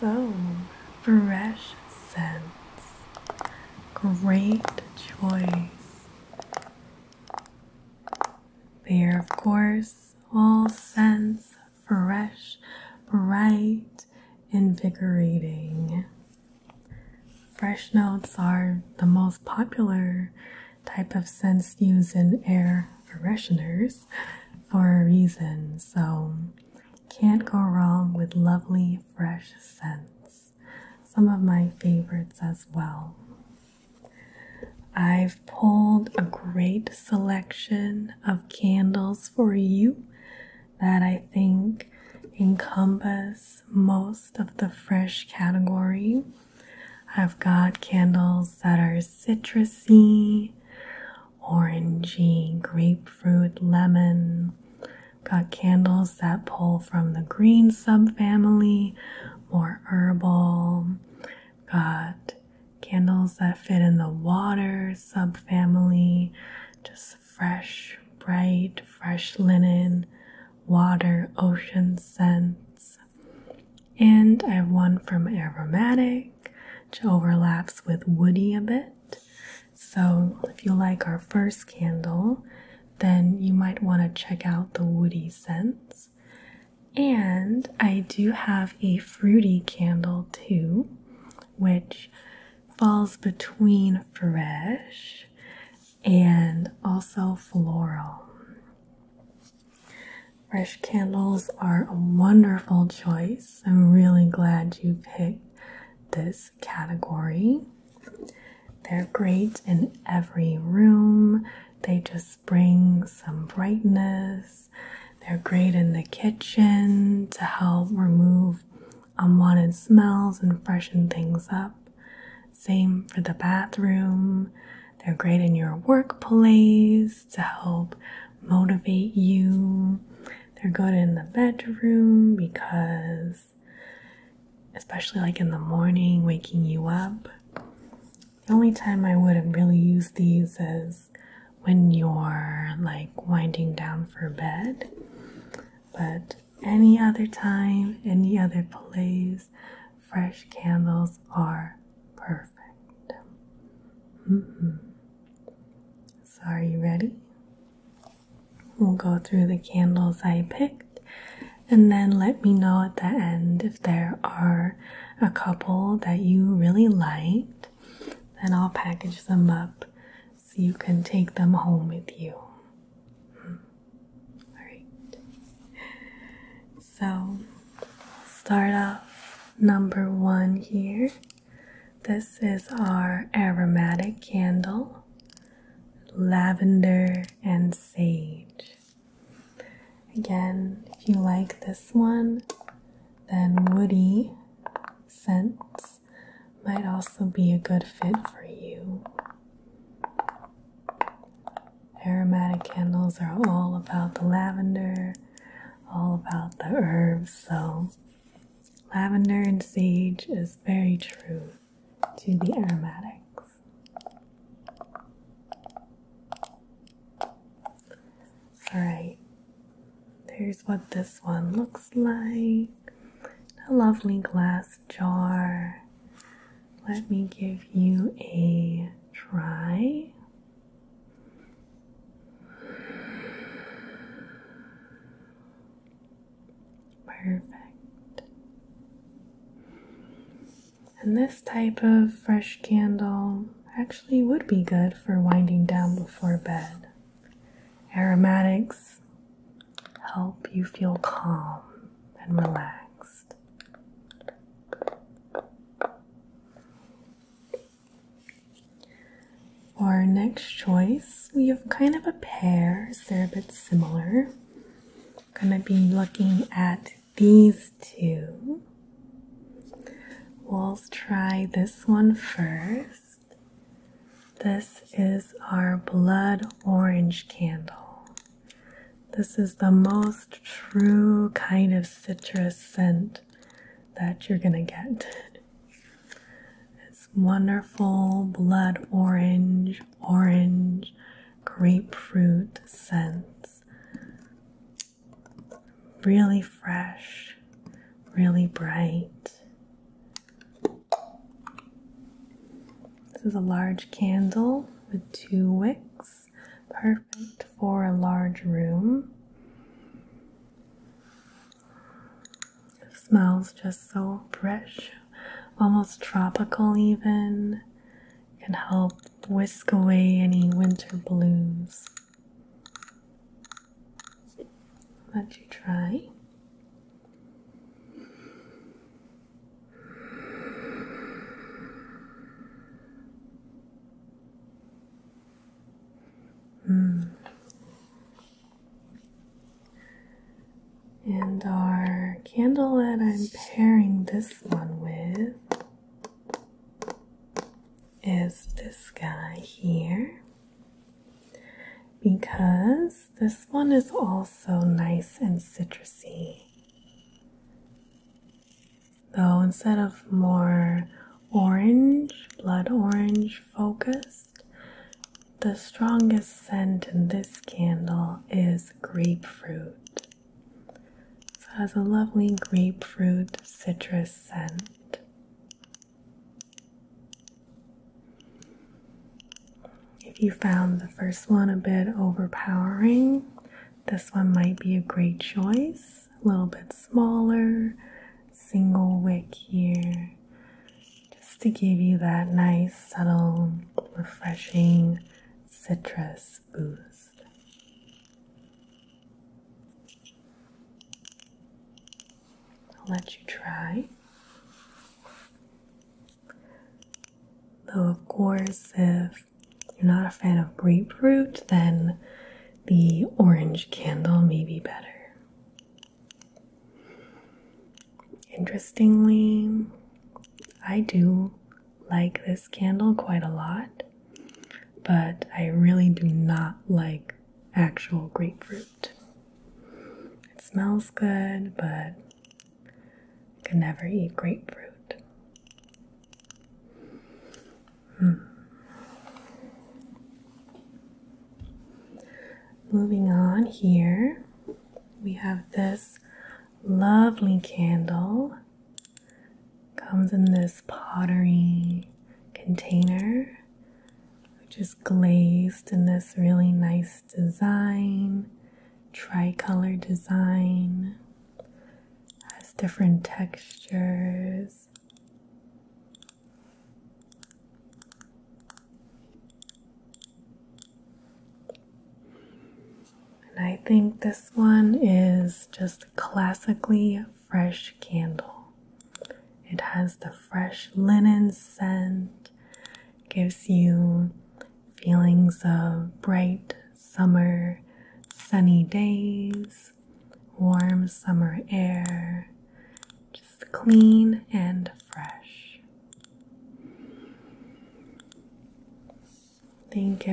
So fresh scents, great choice. They are, of course, all scents fresh, bright, invigorating. Fresh notes are the most popular type of scents used in air fresheners for a reason, so can't go wrong with lovely fresh scents. Some of my favorites as well. I've pulled a great selection of candles for you that I think encompass most of the fresh category. I've got candles that are citrusy, orangey, grapefruit, lemon. Got candles that pull from the green subfamily, more herbal. Got candles that fit in the water subfamily, just fresh, bright, fresh linen, water, ocean scents. And I have one from Aromatic, which overlaps with Woody a bit. So, if you like our first candle, then you might want to check out the woody scents. And I do have a fruity candle too which falls between fresh and also floral. Fresh candles are a wonderful choice. I'm really glad you picked this category. They're great in every room. They just bring some brightness they're great in the kitchen to help remove unwanted smells and freshen things up. Same for the bathroom. They're great in your workplace to help motivate you. They're good in the bedroom because, especially like in the morning, waking you up. The only time I wouldn't really use these is when you're like winding down for bed. But any other time, any other place, fresh candles are perfect. Mm-hmm. So, are you ready? We'll go through the candles I picked and then let me know at the end if there are a couple that you really liked then I'll package them up so you can take them home with you. Hmm. Alright. So, start off number one here. This is our aromatic candle, lavender and sage. Again, if you like this one, then woody scents might also be a good fit for you. Aromatic candles are all about the lavender, all about the herbs, so lavender and sage is very true to the aromatics. All right, there's what this one looks like a lovely glass jar. Let me give you a try. Perfect. And this type of fresh candle actually would be good for winding down before bed. Aromatics help you feel calm and relaxed. our next choice, we have kind of a pair, they're a bit similar. going to be looking at these two. We'll try this one first. This is our blood orange candle. This is the most true kind of citrus scent that you're going to get. It's wonderful blood orange, orange, grapefruit scents really fresh, really bright. This is a large candle with two wicks, perfect for a large room. smells just so fresh, almost tropical, even. can help whisk away any winter blues. So let you try. Mm. And our candle that I'm pairing this one with is this guy here because this one is also nice and citrusy. Though instead of more orange, blood orange focused, the strongest scent in this candle is grapefruit. it has a lovely grapefruit citrus scent. If you found the first one a bit overpowering, this one might be a great choice. A little bit smaller, single wick here, just to give you that nice, subtle, refreshing citrus boost. I'll let you try. Though, of course, if you're not a fan of grapefruit, then the orange candle may be better. Interestingly, I do like this candle quite a lot, but I really do not like actual grapefruit. It smells good, but I could never eat grapefruit. Hmm. Moving on here, we have this lovely candle. Comes in this pottery container which is glazed in this really nice design, tricolor design, has different textures. And I think this one is just classically fresh candle. It has the fresh linen scent, gives you feelings of bright summer, sunny days, warm summer air, just clean and fresh. I think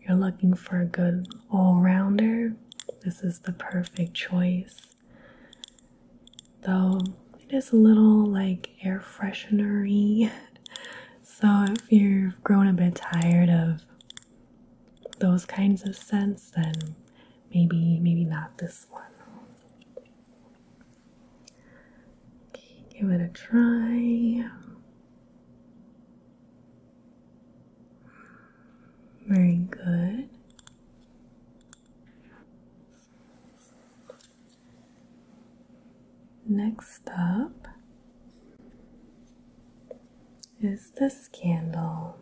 you're looking for a good all rounder, this is the perfect choice. Though it is a little like air freshener-y. So if you've grown a bit tired of those kinds of scents, then maybe maybe not this one. give it a try. Very good. Next up is the scandal.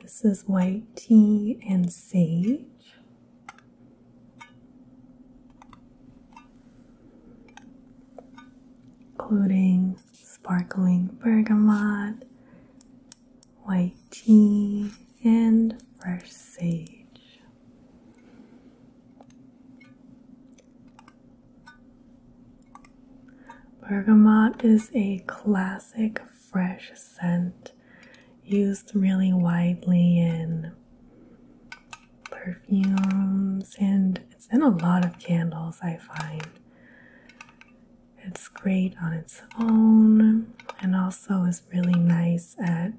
This is white tea and sage including sparkling bergamot, white tea, and fresh sage. Bergamot is a classic fresh scent used really widely in perfumes, and it's in a lot of candles, I find. It's great on its own and also is really nice at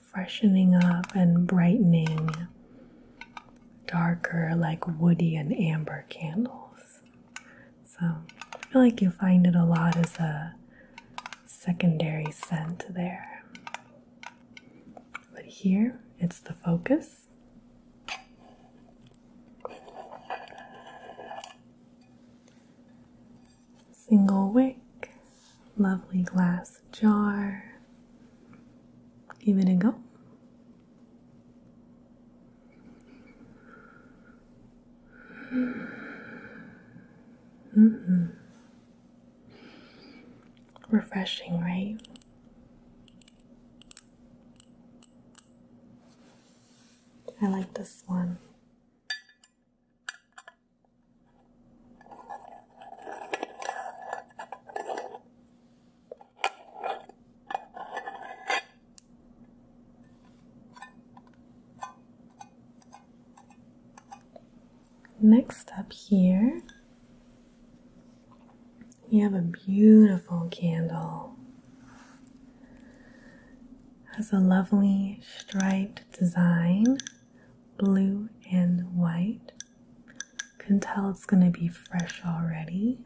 freshening up and brightening darker, like woody and amber candles. So I feel like you find it a lot as a secondary scent there. But here it's the focus. Single wick, lovely glass jar. Give it a go. Mm -hmm. Refreshing, right? I like this one. Next up here, we have a beautiful candle. has a lovely striped design, blue and white. can tell it's going to be fresh already.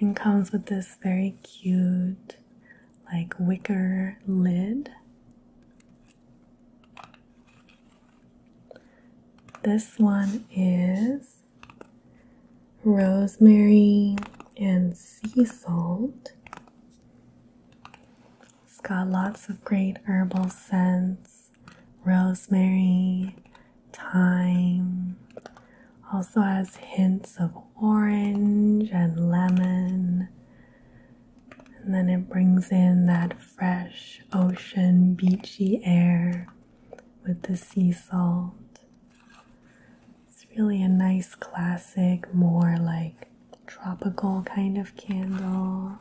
And comes with this very cute, like wicker lid. This one is rosemary and sea salt. It's got lots of great herbal scents rosemary, thyme, also has hints of orange and lemon and then it brings in that fresh ocean beachy air with the sea salt. It's really a nice classic, more like tropical kind of candle.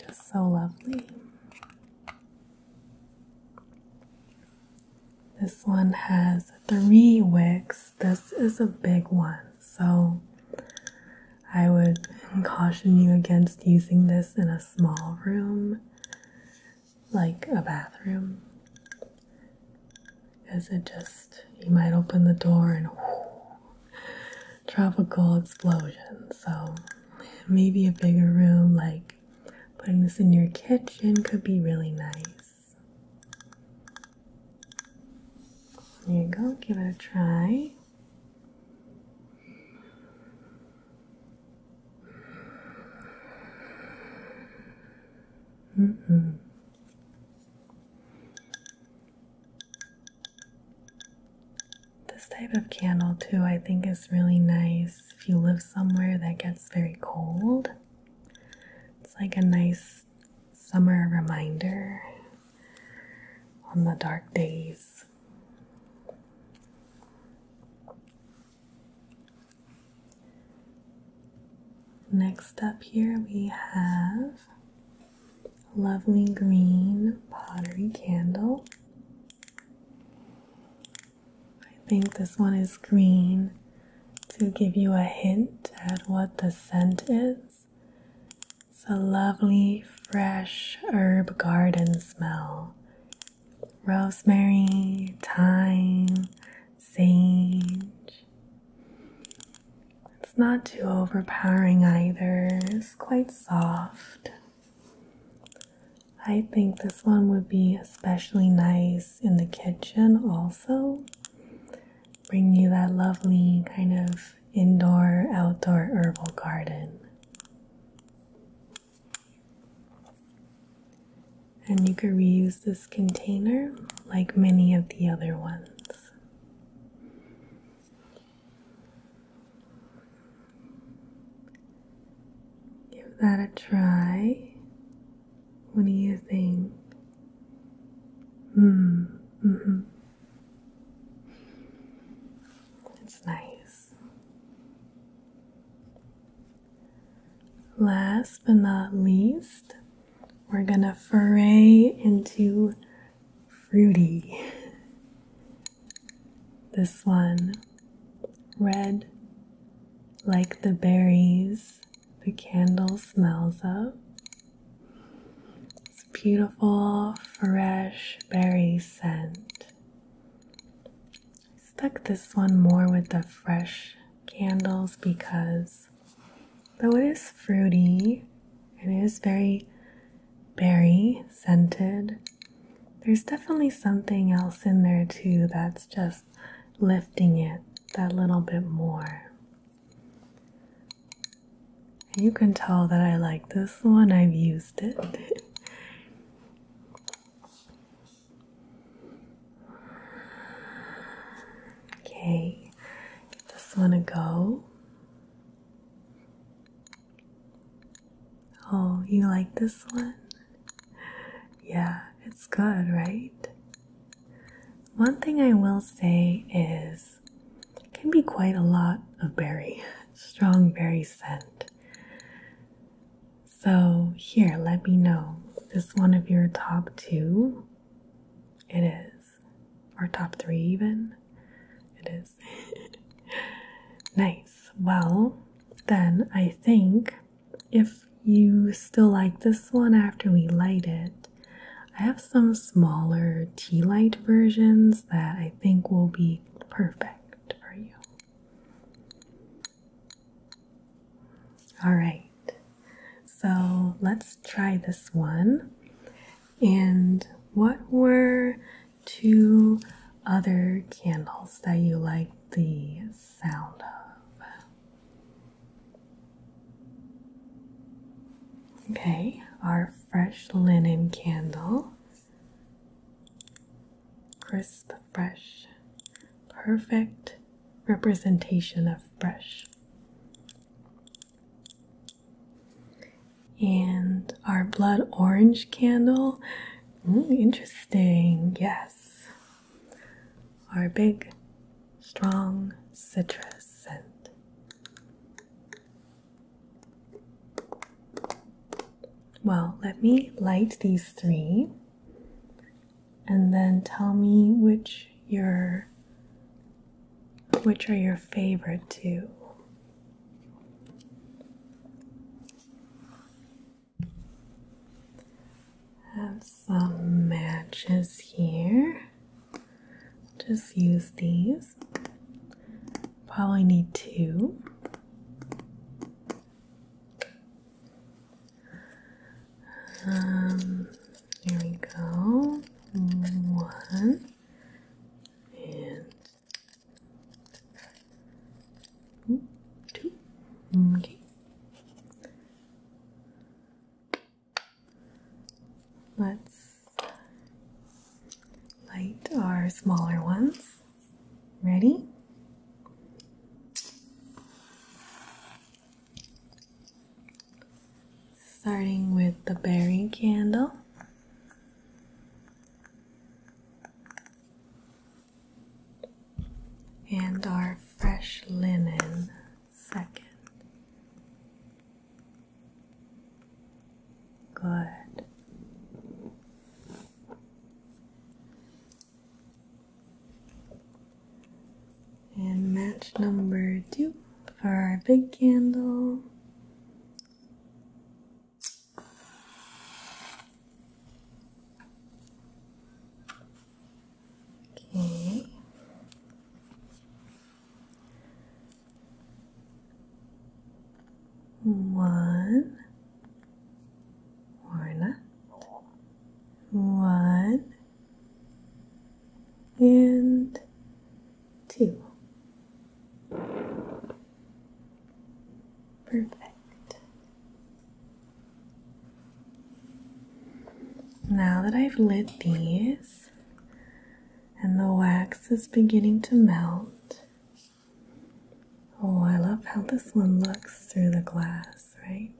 Just so lovely. This one has three wicks. This is a big one, so I would caution you against using this in a small room like a bathroom because it just you might open the door and tropical explosion. So maybe a bigger room like putting this in your kitchen could be really nice. There you go, give it a try. -hmm. This type of candle, too, I think is really nice if you live somewhere that gets very cold. It's like a nice summer reminder on the dark days. Next up, here we have lovely green pottery candle. I think this one is green to give you a hint at what the scent is. It's a lovely fresh herb garden smell. Rosemary, thyme, sage. It's not too overpowering either, it's quite soft. I think this one would be especially nice in the kitchen, also bring you that lovely kind of indoor outdoor herbal garden. And you can reuse this container like many of the other ones. Give that a try. What do you think? Hmm. mm hmm It's nice. Last but not least, we're gonna foray into fruity. This one, red like the berries the candle smells of. It's beautiful, fresh berry scent. I stuck this one more with the fresh candles because though it is fruity, it is very berry scented. There's definitely something else in there too that's just lifting it that little bit more. You can tell that I like this one, I've used it. okay, give this one to go. Oh, you like this one? Yeah, it's good, right? One thing I will say is it can be quite a lot of berry, strong berry scent. So, here, let me know. Is this one of your top two? It is. Or top three, even? It is. nice. Well, then I think if you still like this one after we light it, I have some smaller tea light versions that I think will be perfect for you. All right, so let's try this one. And what were two other candles that you liked the sound of? Okay, our fresh linen candle. Crisp, fresh, perfect representation of fresh. And our blood orange candle. interesting, yes our big, strong citrus scent. Well, let me light these three and then tell me which your which are your favorite two have some matches here. Just use these. Probably need two. Um, there we go. One and two. Okay. Let's light our smaller ones. Ready? Starting with the berry candle. And our fresh linen second. Good. And match number two for our big candle. Okay. One One and two. Perfect. Now that I've lit these and the wax is beginning to melt. Oh, I love how this one looks through the glass, right?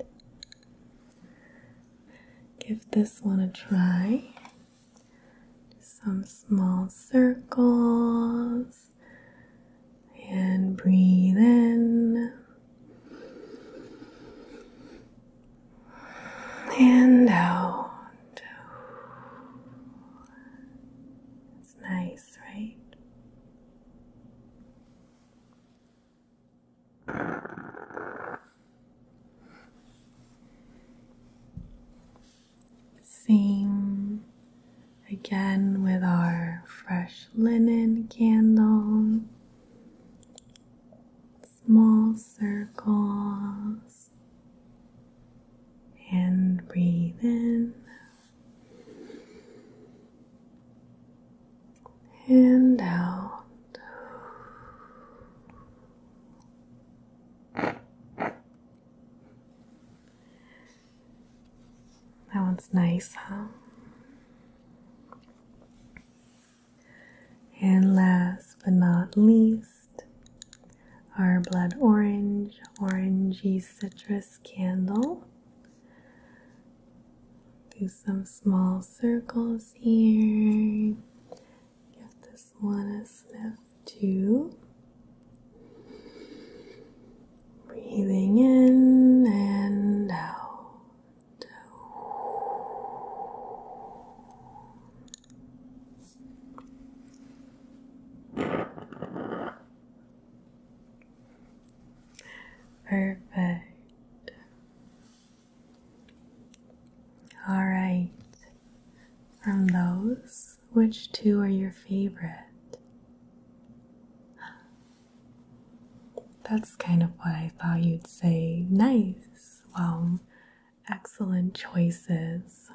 Give this one a try. Some small circles and breathe in and out. It's nice, right? Same again with our fresh linen candle small circles and breathe in and out. That one's nice, huh? And last but not least, our blood orange, orangey citrus candle. Do some small circles here. Give this one a sniff too. Breathing in and out. Perfect. All right. From those, which two are your favorite? That's kind of what I thought you'd say. Nice. Well, excellent choices.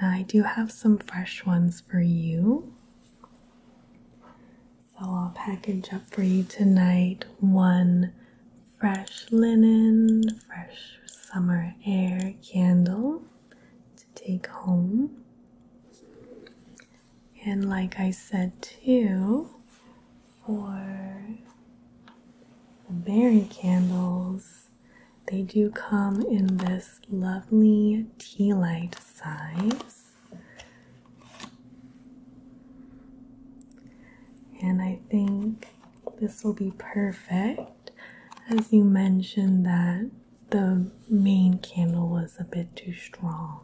Now, I do have some fresh ones for you. So, I'll package up for you tonight one fresh linen, fresh summer air candle to take home. And, like I said, too, for the berry candles. They do come in this lovely tea light size. And I think this will be perfect as you mentioned that the main candle was a bit too strong.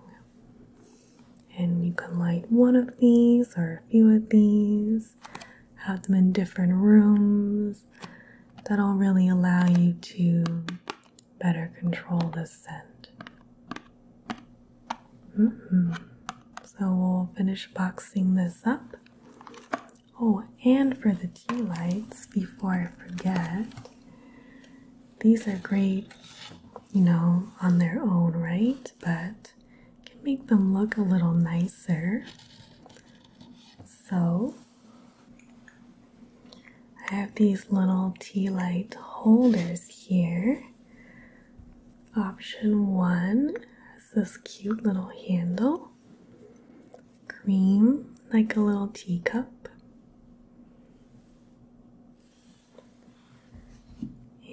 And you can light one of these or a few of these, have them in different rooms. That'll really allow you to better control the scent. Mm-hmm. So we'll finish boxing this up. Oh, and for the tea lights, before I forget, these are great you know, on their own, right? But can make them look a little nicer. So I have these little tea light holders here. Option one has this cute little handle, cream like a little teacup.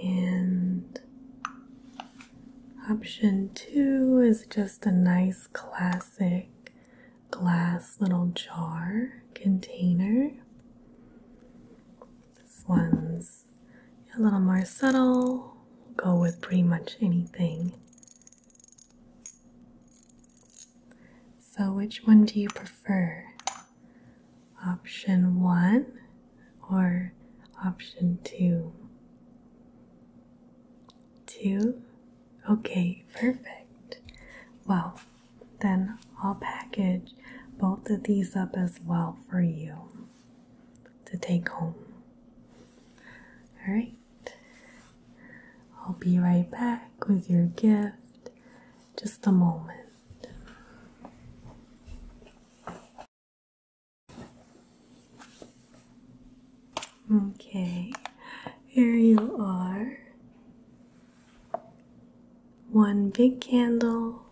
And option two is just a nice classic glass little jar container. This one's a little more subtle, go with pretty much anything. So, which one do you prefer? option one or option two? Two? Okay, perfect. Well, then I'll package both of these up as well for you to take home. Alright, I'll be right back with your gift. Just a moment. Okay, here you are. One big candle,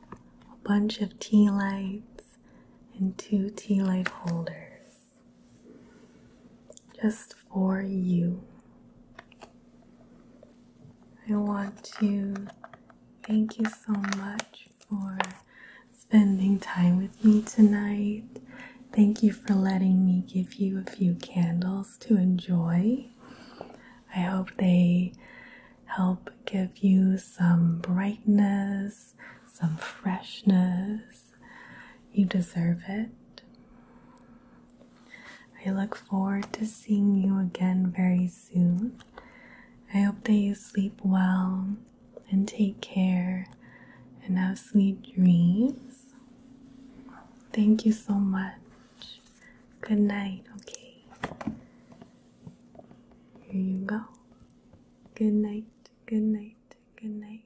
a bunch of tea lights, and two tea light holders. Just for you. I want to Thank you so much for spending time with me tonight. Thank you for letting me give you a few candles to enjoy. I hope they help give you some brightness, some freshness. You deserve it. I look forward to seeing you again very soon. I hope that you sleep well and take care and have sweet dreams. Thank you so much. Good night, okay? Here you go. Good night, good night, good night.